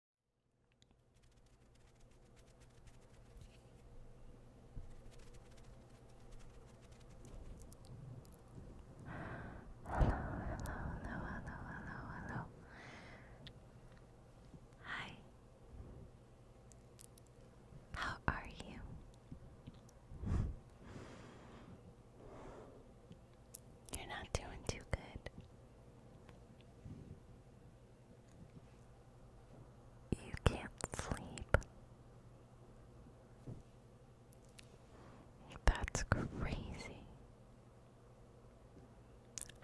Hello, hello, hello, hello, hello, Hi. How are you? You're not doing too good. You can't sleep. That's crazy.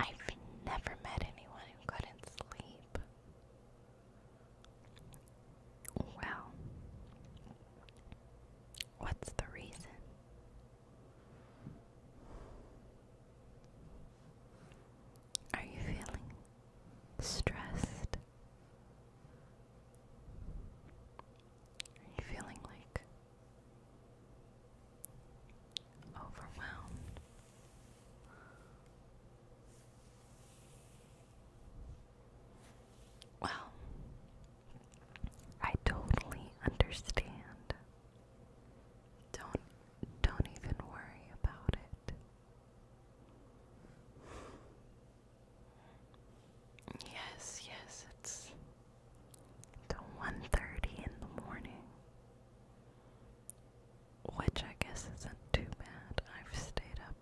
I've never met anyone who couldn't sleep. Well, what's the reason? Are you feeling stressed? Are you feeling like overwhelmed? Well, I totally understand. Don't don't even worry about it. Yes, yes, it's the 1:30 in the morning. Which I guess isn't too bad. I've stayed up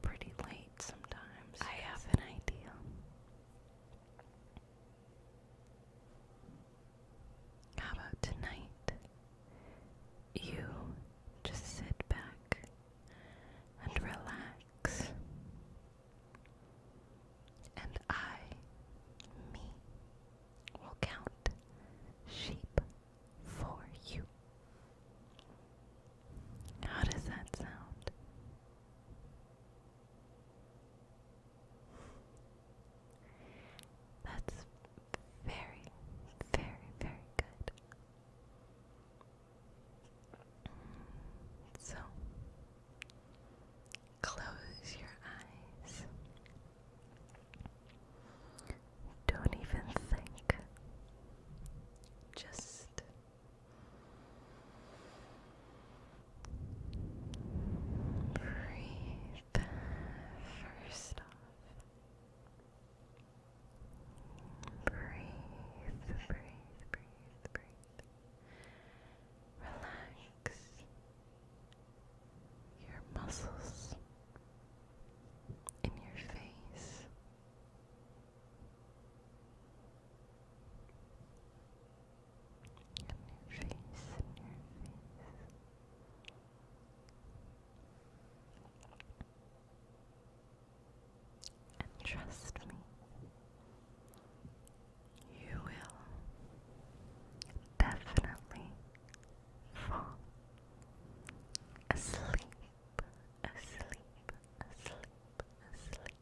pretty late sometimes. I have an idea. How about tonight? You just sit back and relax, and I, me, will count sheep for you. How does that sound? That's very, very, very good. So, close your eyes. Don't even think. Just breathe First off, breathe, breathe, breathe, breathe. Relax your muscles in your face your face, in your face. And trust me, you will definitely fall asleep, asleep, asleep, asleep.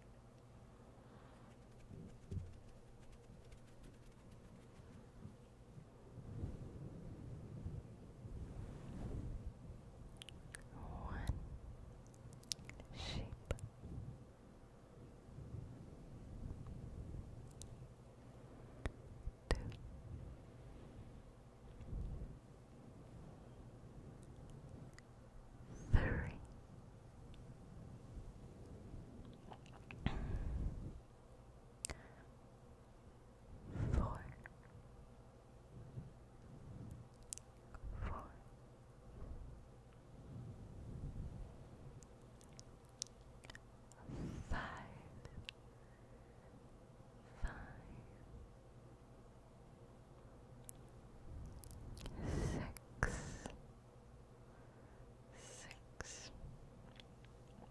One sheep, two, three four, four, five, five, six, six. Seven,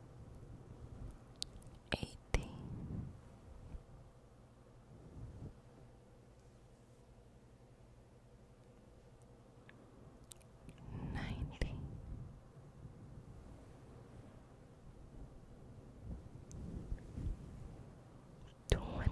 eighty ninety twenty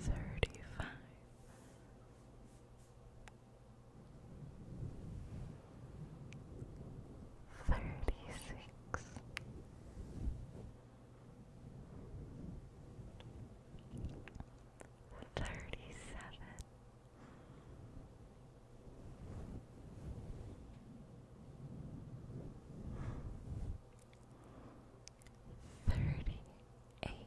thirty five. Thirty six, thirty seven, Thirty-eight. Thirty-nine.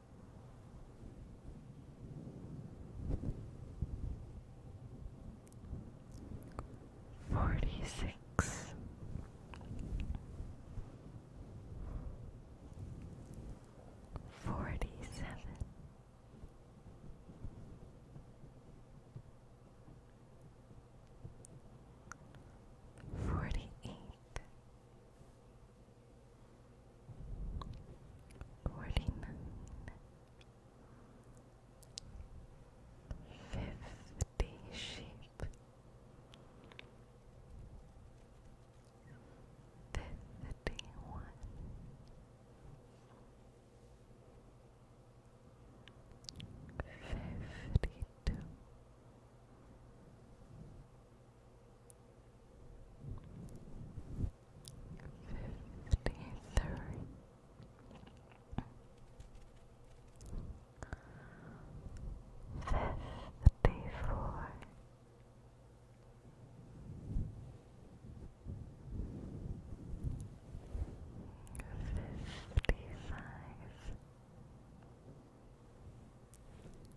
Forty six, forty seven, forty eight. Forty-nine. Fifty sheep. Fifty-one. Fifty-two. Fifty-three. Fifty-four.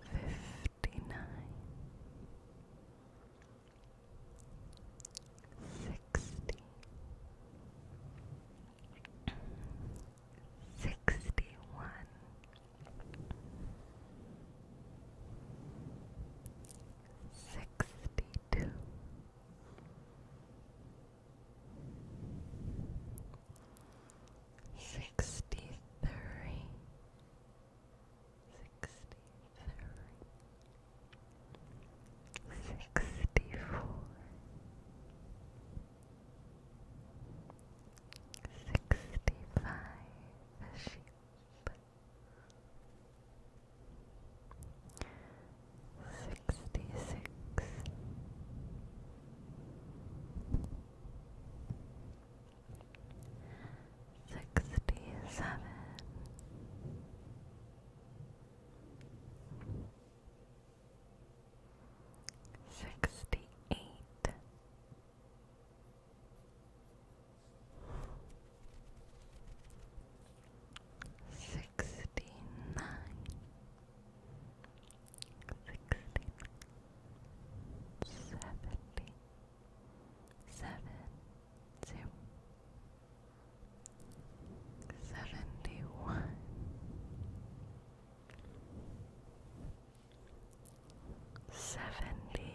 fifty nine, sixty, sixty one, sixty two. Sixty three, sixty three, sixty four, sixty five sheep, sixty-six sixty-seven sixty-eight Sixty nine, sixteen, seventeen, seven, zero, seventy-one, seventy-two.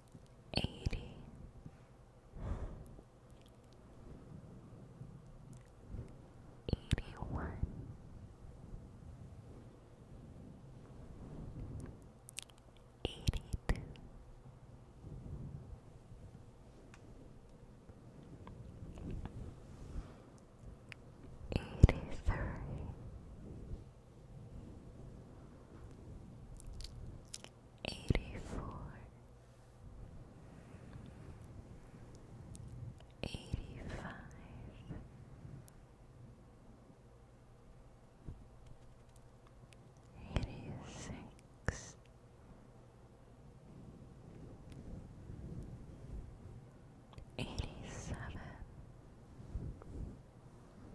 eighty eighty one eighty two eighty three Eighty Eighty four, eighty five, eighty six, eighty seven.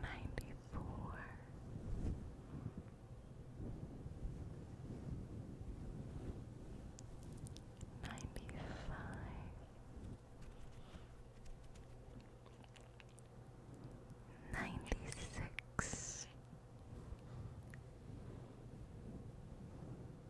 Ninety four. Ninety five.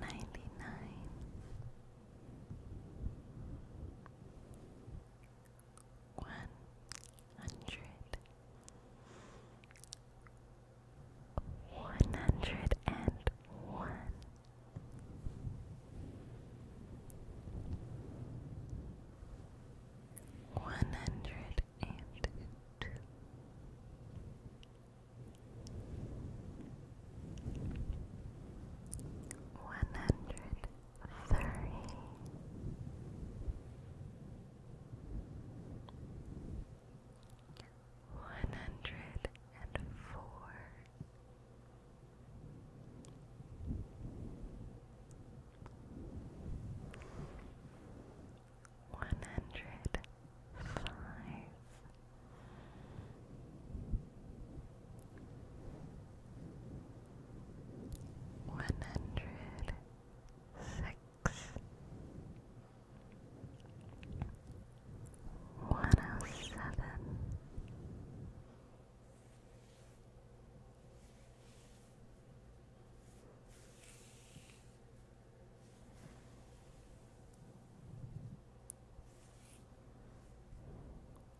Ninety nine one hundred one hundred and one one hundred and two one hundred thirty. One hundred and four, one hundred five, one hundred six, one oh seven.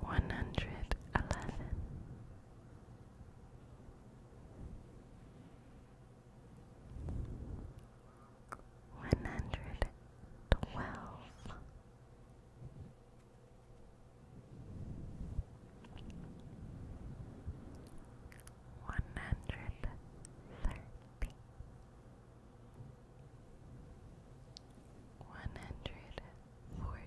one hundred eleven. One hundred twelve, one hundred thirty, one hundred forty.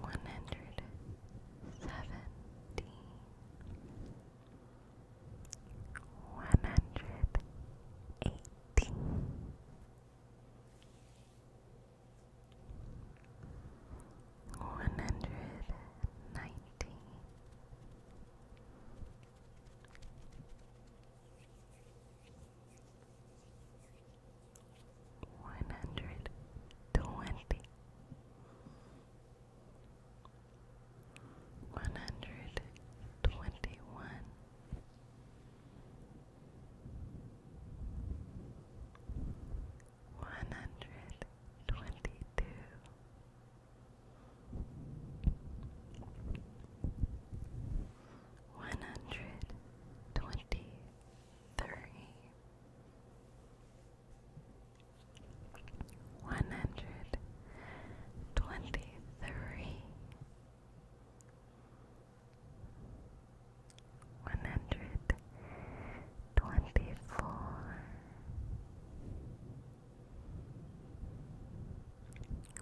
one hundred seventeen, one hundred eighteen, one hundred nineteen one hundred twenty, one hundred twenty one, one hundred twenty two. One hundred twenty three, one hundred twenty three, one hundred twenty four,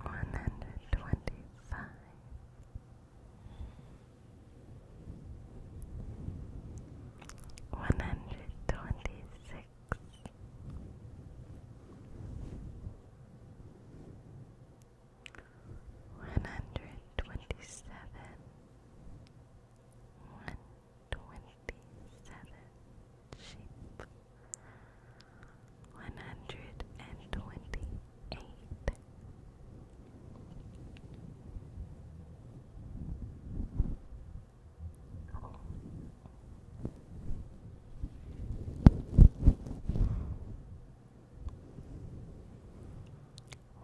one hundred twenty five one hundred twenty six. One hundred twenty seven, one twenty seven sheep, one hundred and twenty eight,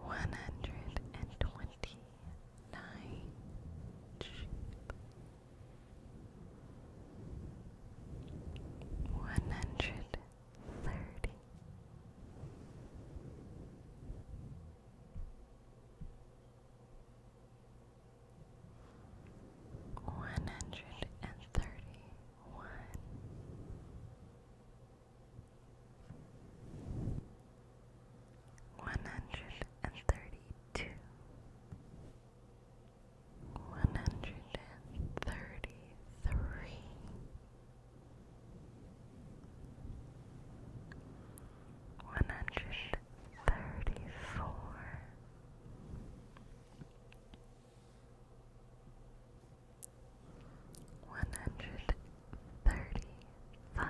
one hundred and twenty nine sheep, one hundred thirty, one hundred and thirty one. One hundred and thirty two, one hundred and thirty three, one hundred thirty four, one hundred thirty five.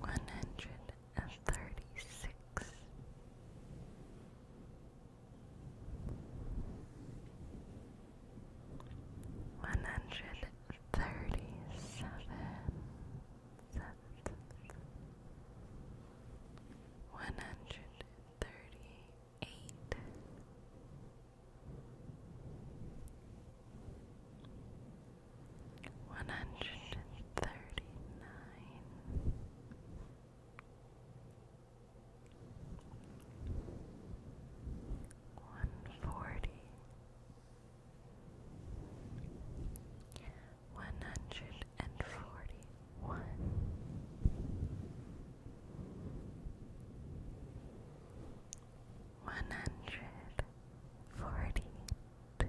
One hundred and thirty six, one hundred thirty-seven One hundred thirty-eight. One hundred thirty-nine one forty, one hundred and forty one, one hundred forty two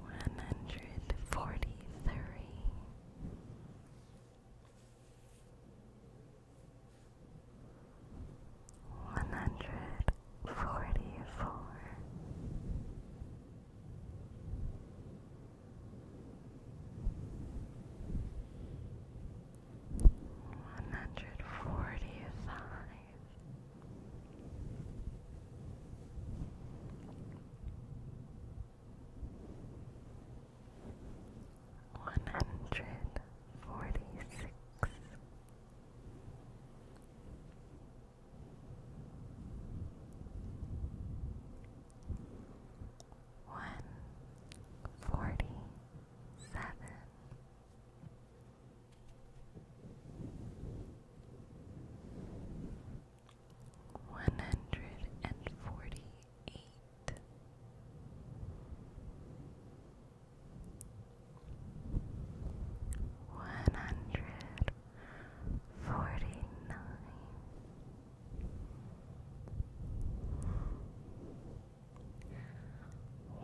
one hundred forty three. One hundred forty four, one hundred forty five, one hundred forty six. One forty seven, one hundred and forty eight. One hundred forty nine,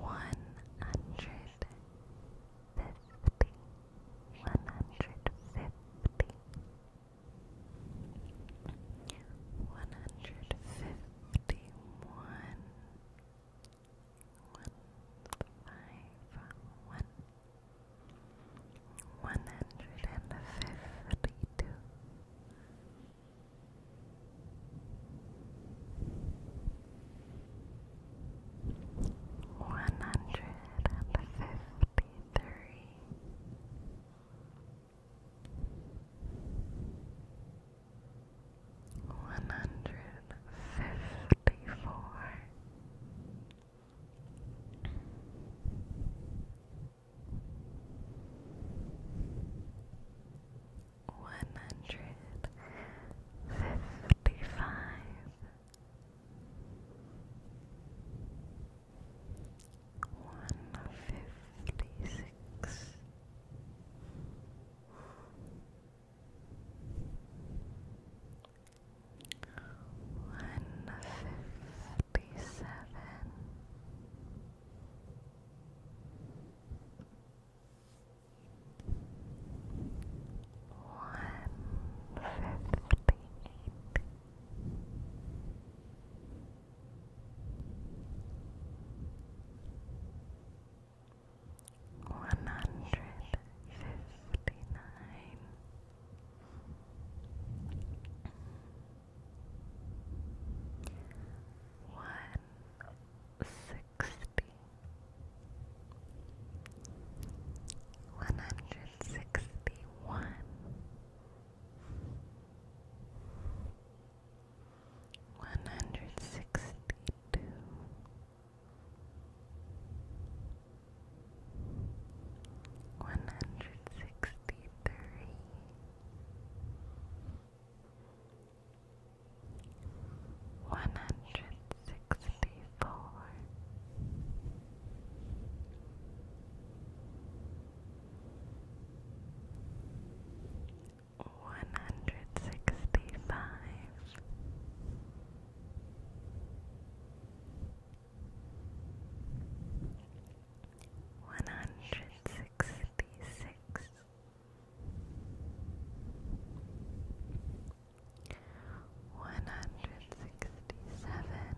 one hundred fifty, one hundred fifty, one hundred fifty one, one five one, one hundred and fifty two. 150 one hundred and fifty three. One hundred fifty four, one hundred fifty five, one fifty six. One fifty seven, one hundred fifty nine. One sixty sixty, one hundred sixty one, one hundred sixty two. One hundred sixty three, one hundred sixty four. One hundred sixty five, one hundred sixty six, one hundred sixty seven,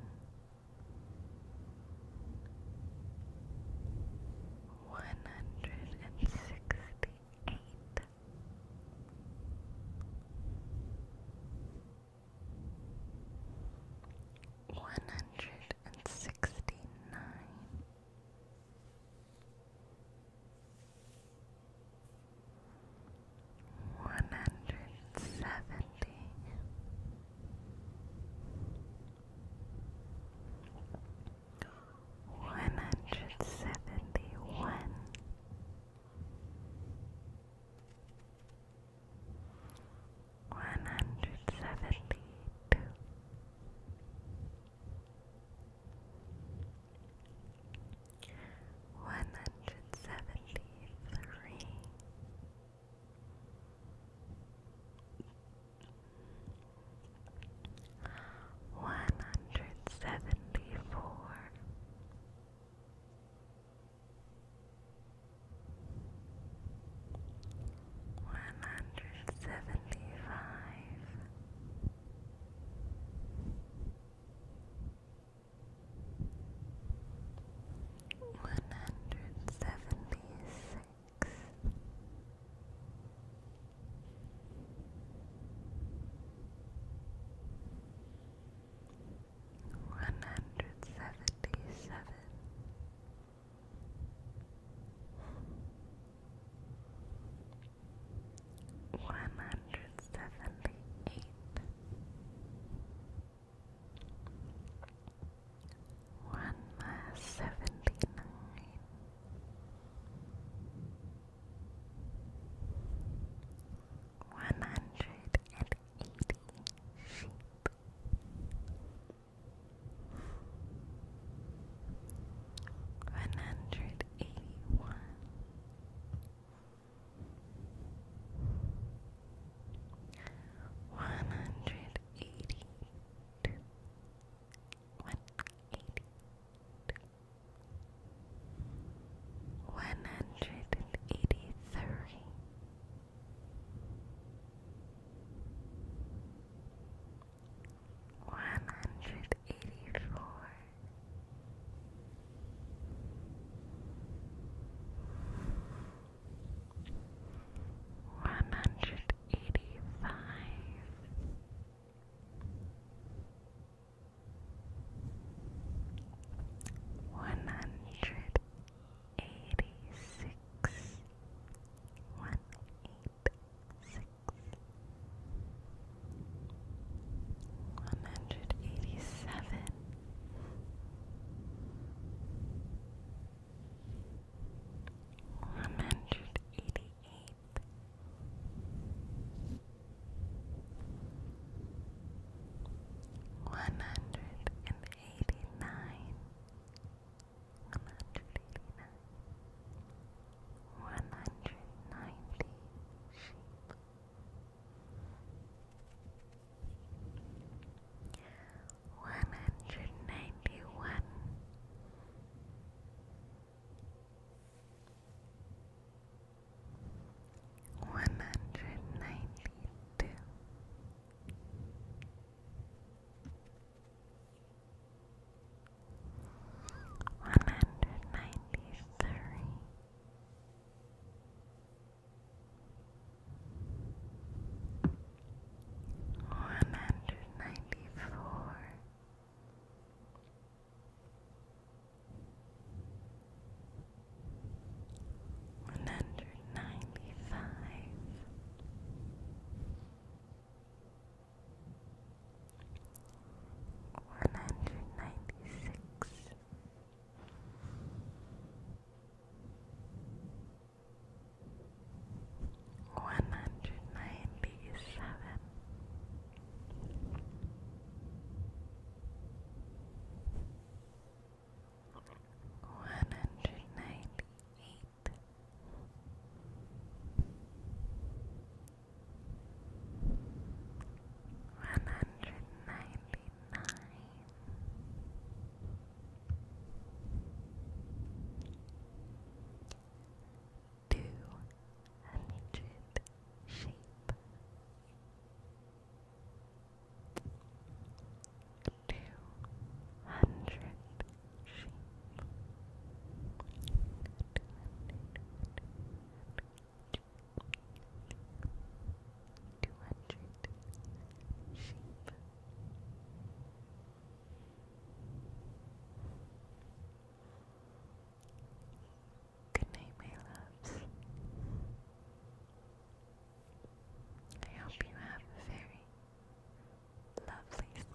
one hundred and sixty eight. One hundred and sixty nine, one hundred seventy-one. seventy one one hundred seventy two one hundred seventy three. One hundred seventy four, one hundred seventy five, one hundred seventy six. One hundred seventy seven, one hundred seventy eight, one seventy nine, one hundred and eighty sheep. One hundred eighty one, one hundred eighty two, hundred and eighty three. One hundred eighty four, one hundred eighty five. One hundred eighty six, one eight six, one hundred eighty seven. One hundred eighty eight, one hundred and eighty nine, one hundred eighty nine, one hundred ninety sheep, one hundred ninety one. One hundred ninety two, one hundred ninety three, one hundred ninety four, one hundred ninety five, one hundred ninety six one hundred ninety seven. One hundred ninety eight, one hundred ninety nine. Two hundred sheep, two hundred sheep, two hundred sheep. Good night, my loves. I hope you have a very lovely sleep.